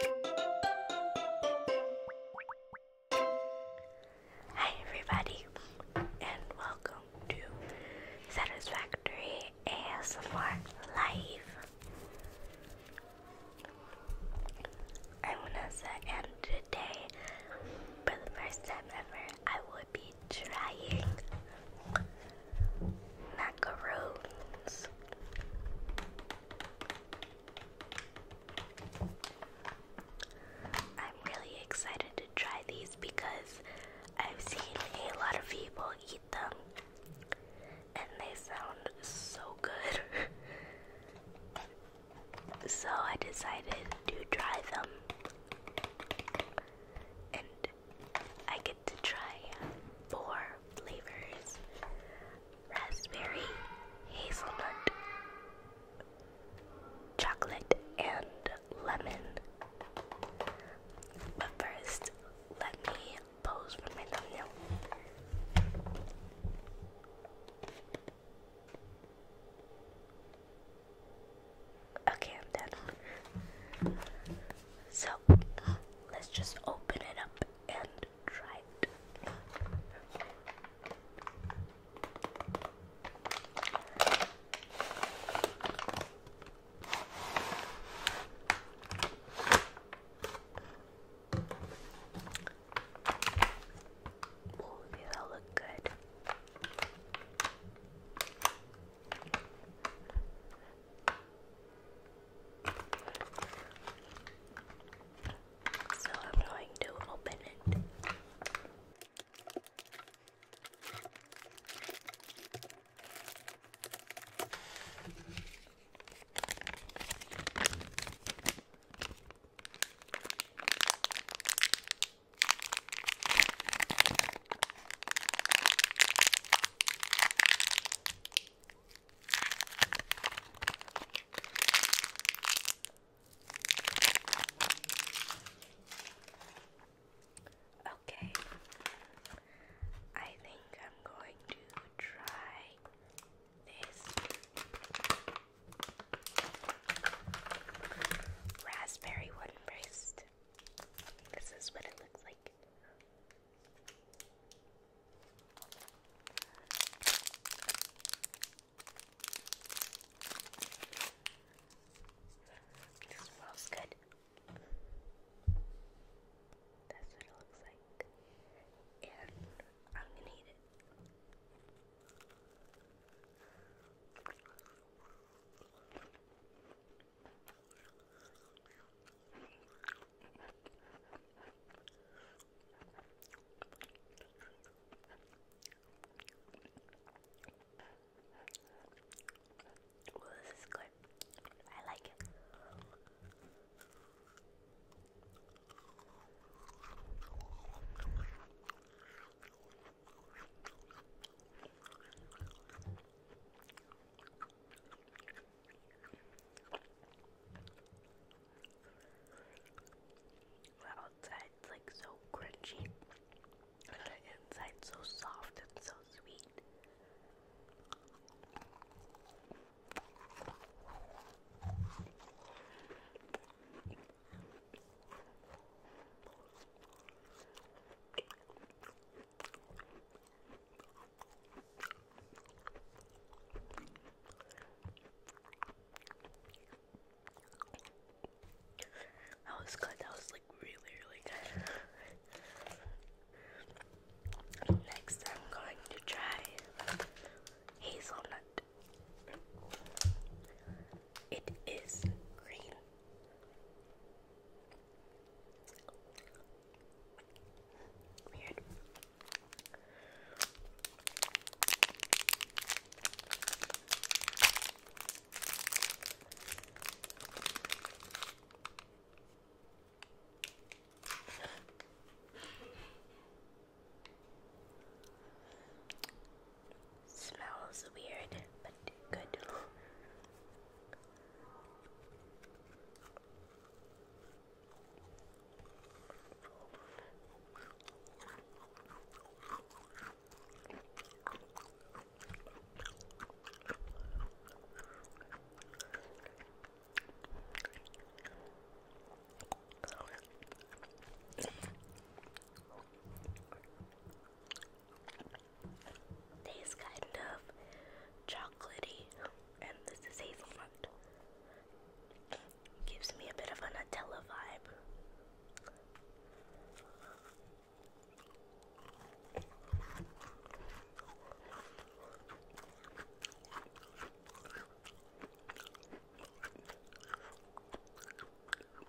Hi, everybody, and welcome to Satisfactory ASMR Live. I'm Vanessa, and today, for the first time ever, I would be trying macaroons. I'm really excited to try these because I've seen a lot of people eat them and they sound so good. so I decided to try them. And I to try four flavors raspberry, hazelnut, chocolate, and lemon. But first, let me pose for my thumbnail. Okay, I'm done. So let's just open it up and try it. Ooh, they all look good. So I'm going to open it. Okay, I think I'm going to try this raspberry one first. This is what it looks like smells good. That's what it looks like. And I'm gonna eat it. Well, this is good. I like it. The outside's like so crunchy, and the so soft and so sweet. That was good. That was like really, really good. Next, I'm going to try hazelnut. It is green. Weird. Smells weird, but good. Tastes kind of chocolatey, and this is hazelnut. Gives me a bit of an Nutella vibe.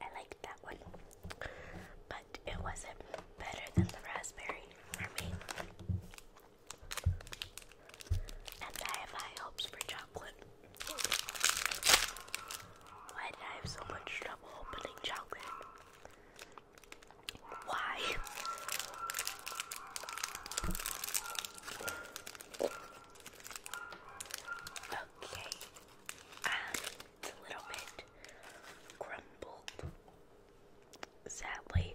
I liked that one, but it wasn't better than the raspberry for me. And I have high hopes for chocolate. Why did I have so much trouble opening chocolate? Why? Okay, and it's a little bit crumbled, sadly.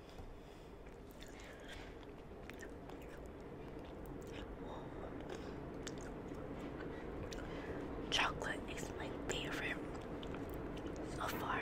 Chocolate is my favorite so far.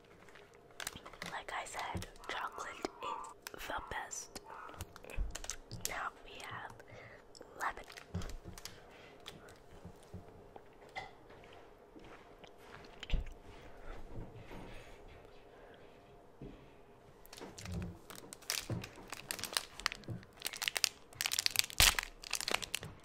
Like I said, chocolate is the best. Now we have lemon.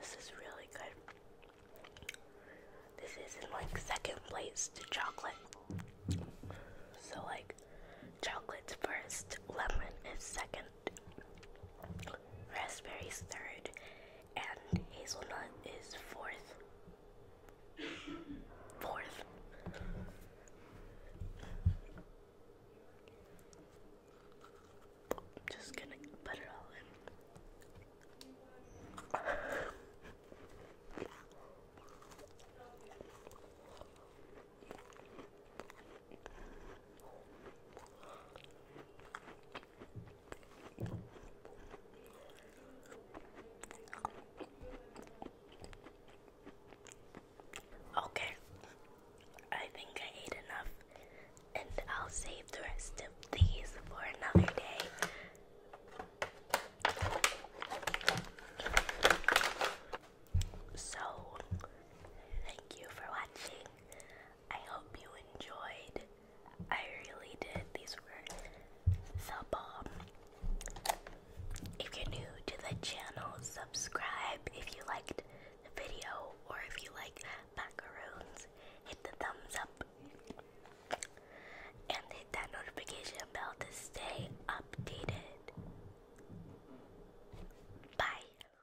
This is really good. This is not like second place to chocolate. So, like, chocolate first, lemon is second, raspberries third, and hazelnut is fourth. Fourth. Just gonna put it all in. Okay, I think I ate enough, and I'll save the rest of these for another day. So, thank you for watching. I hope you enjoyed. I really did. These were the bomb. If you're new to the channel, subscribe if you liked the video or if you like macaroons, hit the thumbs up and hit that notification bell to stay updated. Bye.